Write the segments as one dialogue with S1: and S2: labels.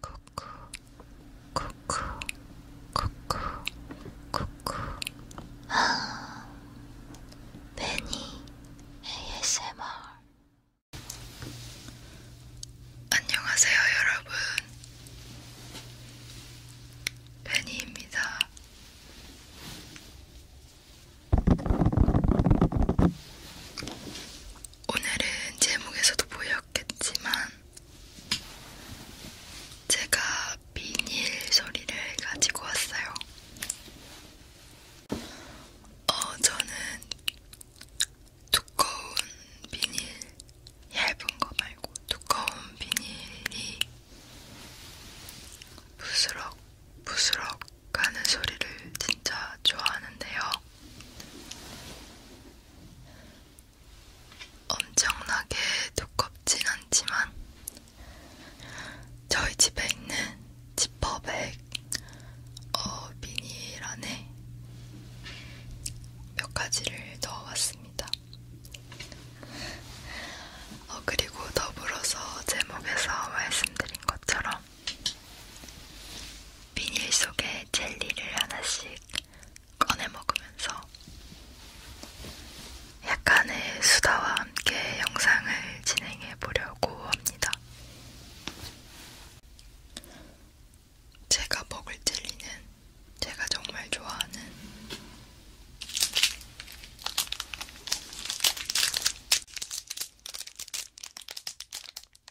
S1: 쿠쿠 쿠쿠 쿠쿠 쿠쿠 아 매니 ASMR 안녕하세요 여러분 베니입니다. 오늘은 제목에서도 보였겠지만 제가 비닐 소리를 가지고 왔어요. 어, 저는 두꺼운 비닐, 얇은 거 말고 두꺼운 비닐이 부스럭 부스럭 가는 소리를 진짜 좋아하는데요. 엄청나게 두껍진 않지만 저희 집에 있는 지퍼백 어, 비닐 안에 몇 가지를 넣어왔습니다. 어, 그리고 더불어서 제목에서 말씀드린 것처럼 비닐 속에 젤리를 하나씩 꺼내 먹으면서 약간의 수다와 함께 영상을 진행해 보려고 합니다. 제가 먹을 젤리는 제가 정말 좋아하는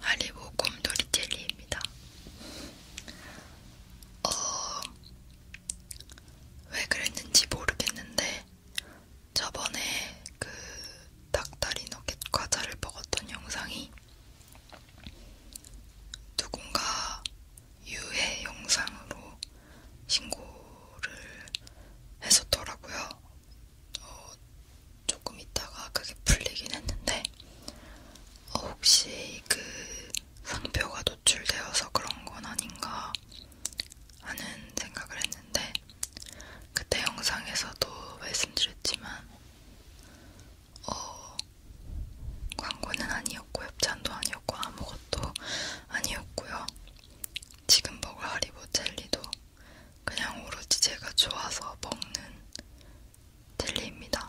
S1: 하리보 곰돌이 젤리입니다. 어, 왜 그랬는지 모르겠는데 저번에 그 닭다리 너겟 과자를 먹었던 영상이 누군가 유해 영상으로 신고를 했었더라고요. 어, 조금 있다가 그게 풀리긴 했는데 어, 혹시 그 상표가 노출되어서 그런 건 아닌가 하는 생각을 했는데 그때 영상에서도 말씀드렸지만 어, 광고는 아니었고 협찬도 아니었고 아무것도 아니었고요. 지금 먹을 하리보 젤리도 그냥 오로지 제가 좋아서 먹는 젤리입니다.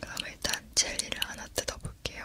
S1: 그럼 일단 젤리를 하나 뜯어볼게요.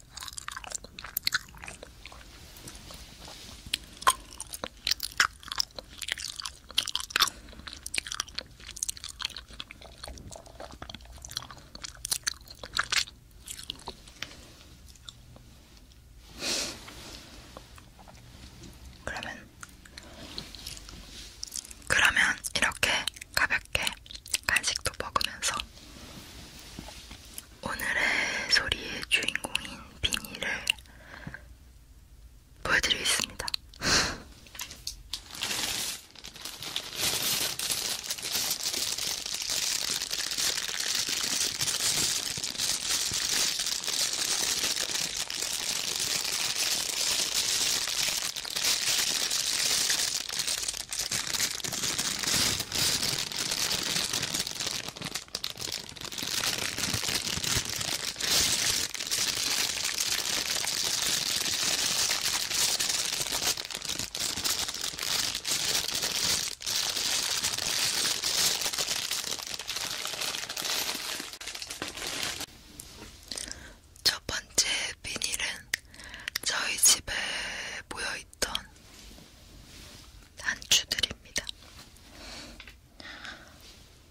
S1: 그러면 그러면 이렇게 가볍게 간식도 먹으면서 오늘의 소리의 주인공인 비니를 보여드리겠습니다. 첫 번째 비닐은 저희 집에 모여 있던 한 주들입니다.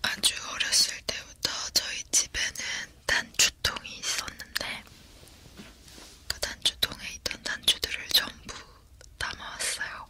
S1: 아주 어렸을 때부터 저희 집에는 단추통이 있었는데 그 단추통에 있던 단추들을 전부 담아왔어요.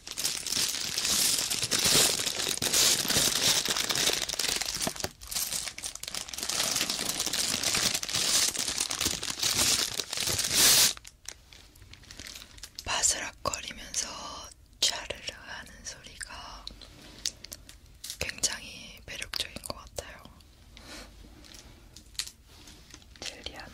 S1: 바스락거리면서 차르르 하는 소리가 굉장히 매력적인 것 같아요. 젤리 하나.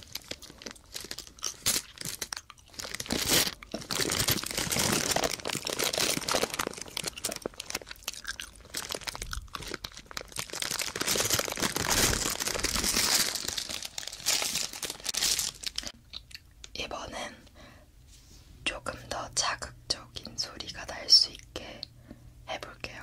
S1: 이번엔 조금 더 자극적인 소리가 날 수 있게 이제 해볼게요.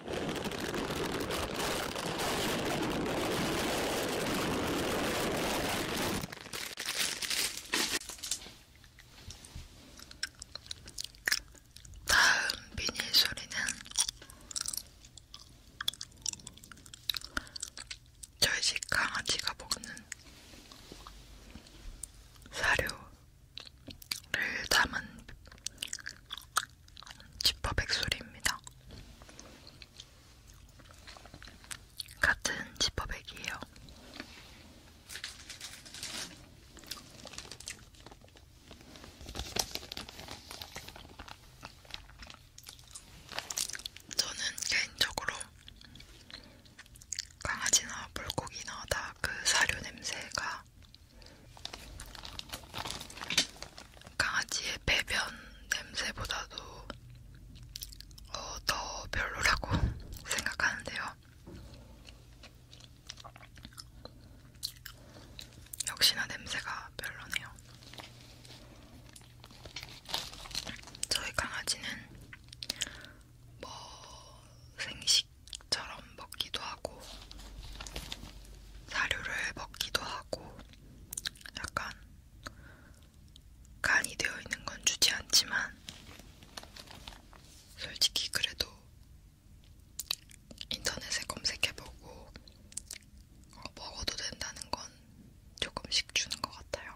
S1: 다음 비닐 소리는 저희 집 강아지가 먹는 사료를 담은 지퍼 백소리입니다. 같은 지퍼백이에요. 저는 개인적으로 강아지나 물고기나 다 그 사료 냄새가 강아지의 배변 냄새보다도 어, 더 별로라고 생각하는데요. 역시나 냄새가 별로네요. 저희 강아지는 뭐 생식처럼 먹기도 하고 사료를 먹기도 하고 약간 간이 되어 있는 건 주지 않지만 솔직히 그래도 인터넷에 검색해보고 어, 먹어도 된다는 건 조금씩 주는 것 같아요.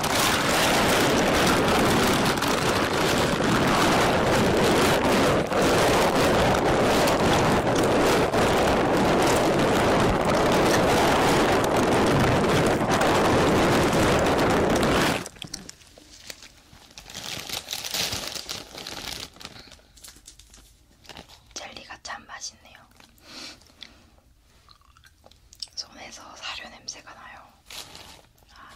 S1: 젤리가 참 맛있네요. 손에서 사료 냄새가 나요. 아. 아,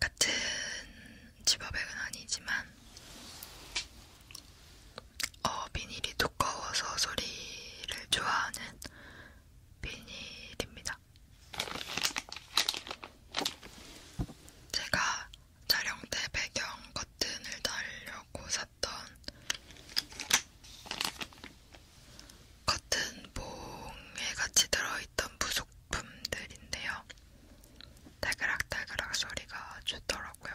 S1: 같은 집업액은 아니지만 어, 비닐이 두꺼워서 소리를 좋아하는 비닐입니다. 제가 촬영 때 배경 커튼을 달려고 샀던 커튼봉에 같이 들어있던 부속품들인데요. 달그락달그락 소리가 좋더라고요.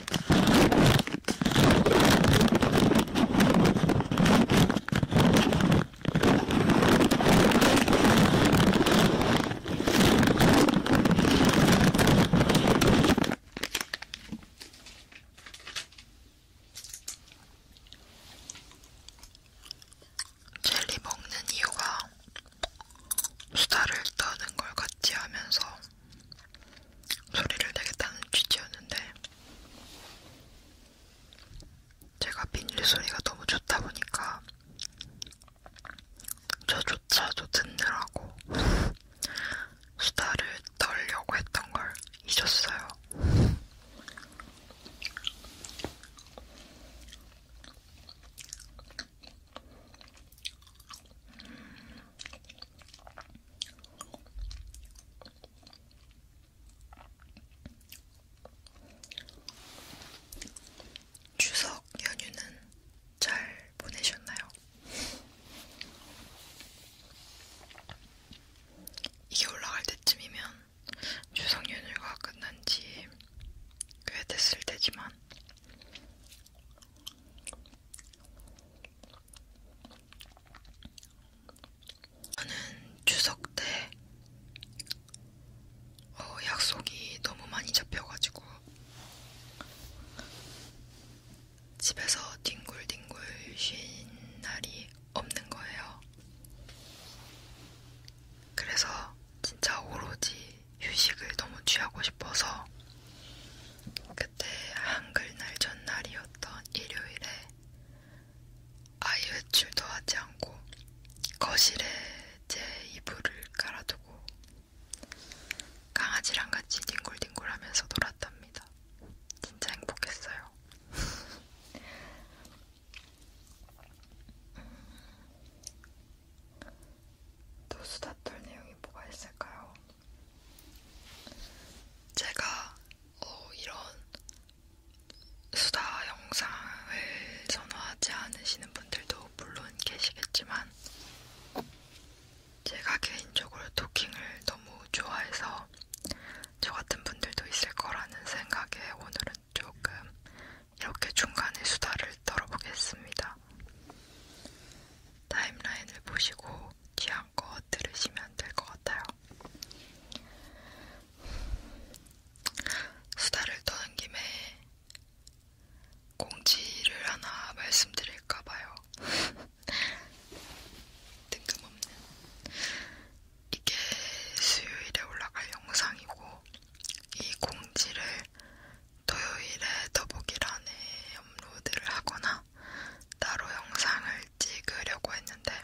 S1: 젤리 먹는 이유가 수다를 떠는 걸 같이 하면서 소리를 내겠다는 취지였는데 제가 비닐 소리가 너무 좋다 보니까 저조차도 듣느라고 수다를 떨려고 했던 걸 잊었어요. 추석 연휴는 잘 보내셨나요? 이게 올라갈 때쯤이면 추석 연휴가 끝난 지 꽤 됐을 테지만 저는 추석 때 어, 약속이 너무 많이 잡혀가지고 집에서 뒹굴뒹굴 쉰 날이 없는 거예요. 그래서 진짜 오로지 휴식을 너무 취하고 싶어서 그때 한글날 전날이었던 일요일에 아예 외출도 하지 않고 거실에 제 이불을 깔아두고 강아지랑 같이 뒹굴뒹굴하면서 놀았답니다. 진짜 행복했어요. 음, 또 수다 떨 내용이 뭐가 있을까요? 제가 어, 이런 수다 영상을 선호하지 않으시는 분들도 물론 계시겠지만 제가 개인적으로 토킹을 너무 좋아해서 저 같은 분들도 있을 거라는 생각에 오늘은 조금 이렇게 중간에 수다를 떨어보겠습니다. 타임라인을 보시고 귀향껏 들으시면 될 것 같아요. 수다를 떠는 김에 공지를 하나 말씀드릴까봐요. 뜬금없는. 이게 수요일에 올라갈 영상이고, 이 공지를 토요일에 더보기란에 업로드를 하거나, 따로 영상을 찍으려고 했는데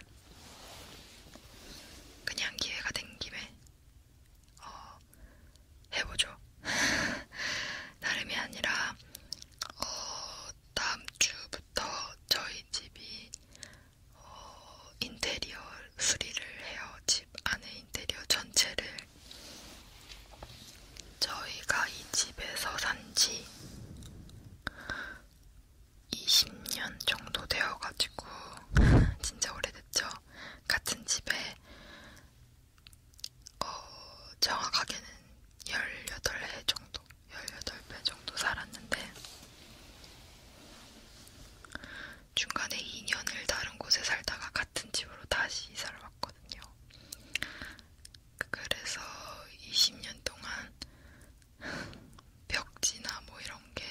S1: 그냥 기회가 된 김에 어, 해보죠. 다름이 아니라 어, 다음 주부터 저희 집이 어, 인테리어 수리를 해요. 집 안에 인테리어 전체를 저희가 이 집에서 산 지 20년 정도 되어가지고 진짜 오래됐죠. 같은 집에 어, 정확하게는 18해 정도, 18배 정도 살았는데 중간에 2년을 다른 곳에 살다가 같은 집으로 다시 이사를 왔거든요. 그래서 20년 동안 벽지나 뭐 이런 게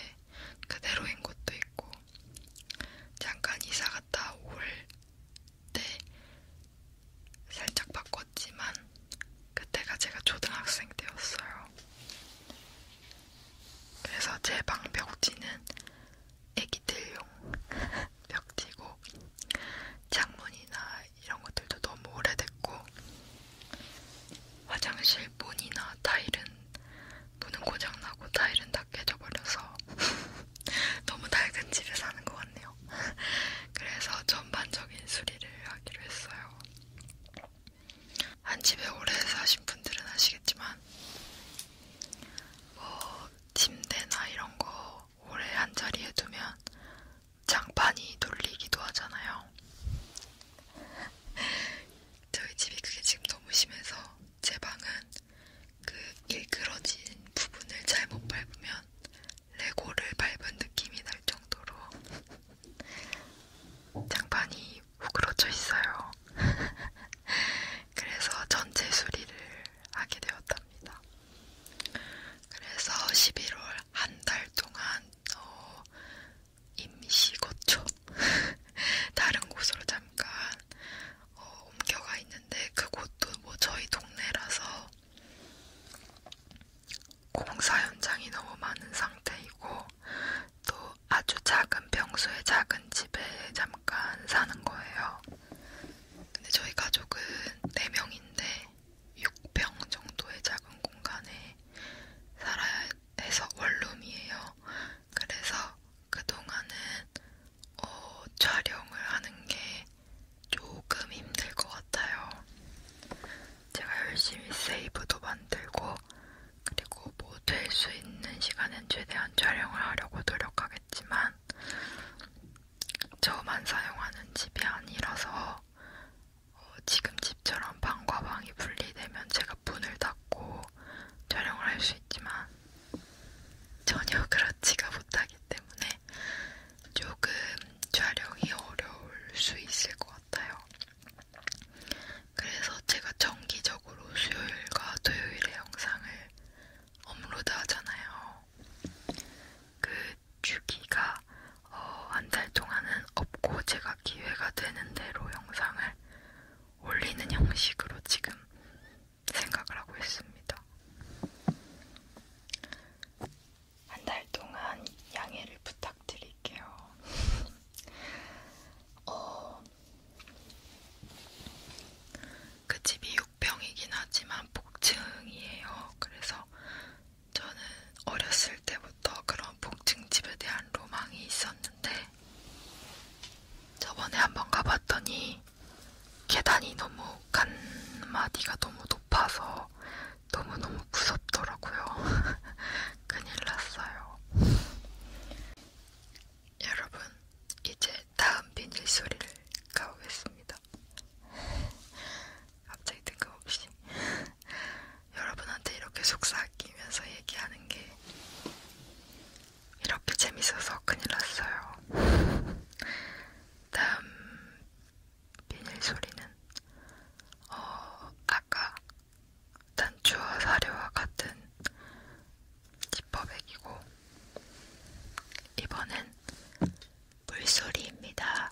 S1: 그대로인 것도 있고 잠깐 이사 갔다 올 때 살짝 바꿨지만 그때가 제가 초등학생 때였어요. 그래서 제 방 벽지는 애기들용 벽지고 창문이나 이런 것들도 너무 오래됐고 화장실 문이나 타일은 문은 고장나고 타일은 다 깨져버려서 너무 낡은 집에 사는 것 같네요. 그래서 전반적인 수리를 하기로 했어요. 한 집에 오래 사신 분들은 아시겠지만 뭐 침대나 이런 거 오래 한 자리에 두면 장판이 돌리기도 하잖아요. 저희 집이 그게 지금 너무 심해서 제 방은 그 일그러진 부분을 잘못 밟으면 레고를 밟은 느낌이 날 정도로 장판이 우그러져 있어요. 그래서 전체 수리를 하게 되었답니다. 그래서 11월 한 달 동안 어, 임시 거처 다른 곳으로 잠깐 어, 옮겨가 있는데 그곳도 뭐 저희 동네라서 공사 현장이 너무 많은 상태이고 또 아주 작은 평소에 작은 집에 잠깐 사는 거예요. 근데 저희 가족은 4명인데 6평 정도의 작은 공간에 살아야 해서 원룸이에요. 그래서 그동안은 어, 촬영을 하는 게 조금 힘들 것 같아요. 제가 열심히 세이브도 만들고 그리고 뭐 될 수 있는 시간은 최대한 촬영을 하려고 노력하겠지만 저만 사용하는 집이 아니라서 어, 지금 집처럼 방과 방이 분리되면 제가 문을 닫고 촬영을 할 수 있지만 전혀 그렇지가 못하기 때문에 조금 촬영이 어려울 수 있을 것 같아요. 그래서 제가 정기적으로 수요일과 토요일에 영상을 업로드 하잖아요. 그 주기가 어, 한달 동안은 없고 제가 기회가 되는 대로 영상을 올리는 형식으로 지금 생각을 하고 있습니다. 한 달 동안 양해를 부탁드릴게요. 어, 그 집이 육병이긴 하지만 복층이에요. 그래서 저는 어렸을 때부터 그런 복층집에 대한 로망이 있었는데 저번에 한번 가봤더니 계단이 너무 간마디가 너무 높아서 너무너무 무섭더라고요. 큰일 났어요. 여러분, 이제 다음 비닐 소리를 가보겠습니다. 갑자기 뜬금없이 여러분한테 이렇게 속삭이면서 얘기하는 게 이렇게 재밌어서 큰일 났어요. 다음 비닐 소리는 어, 아까 단추와 사료와 같은 지퍼백이고 이번엔 물소리입니다.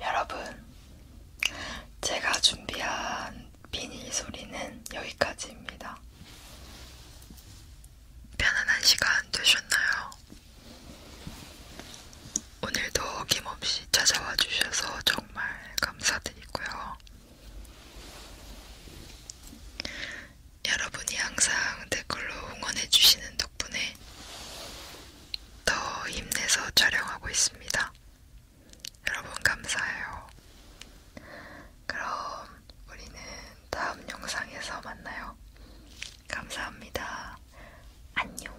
S1: 여러분, 제가 준비한 비닐 소리는 여기까지입니다. 편안한 시간 되셨나요? 오늘도 어김없이 찾아와 주셔서 정말 감사드리고요. 여러분이 항상 댓글로 응원해주시는 덕분에 더 힘내서 촬영하고 있습니다. 여러분 감사해요. 그럼 우리는 다음 영상에서 만나요. 감사합니다. 안녕.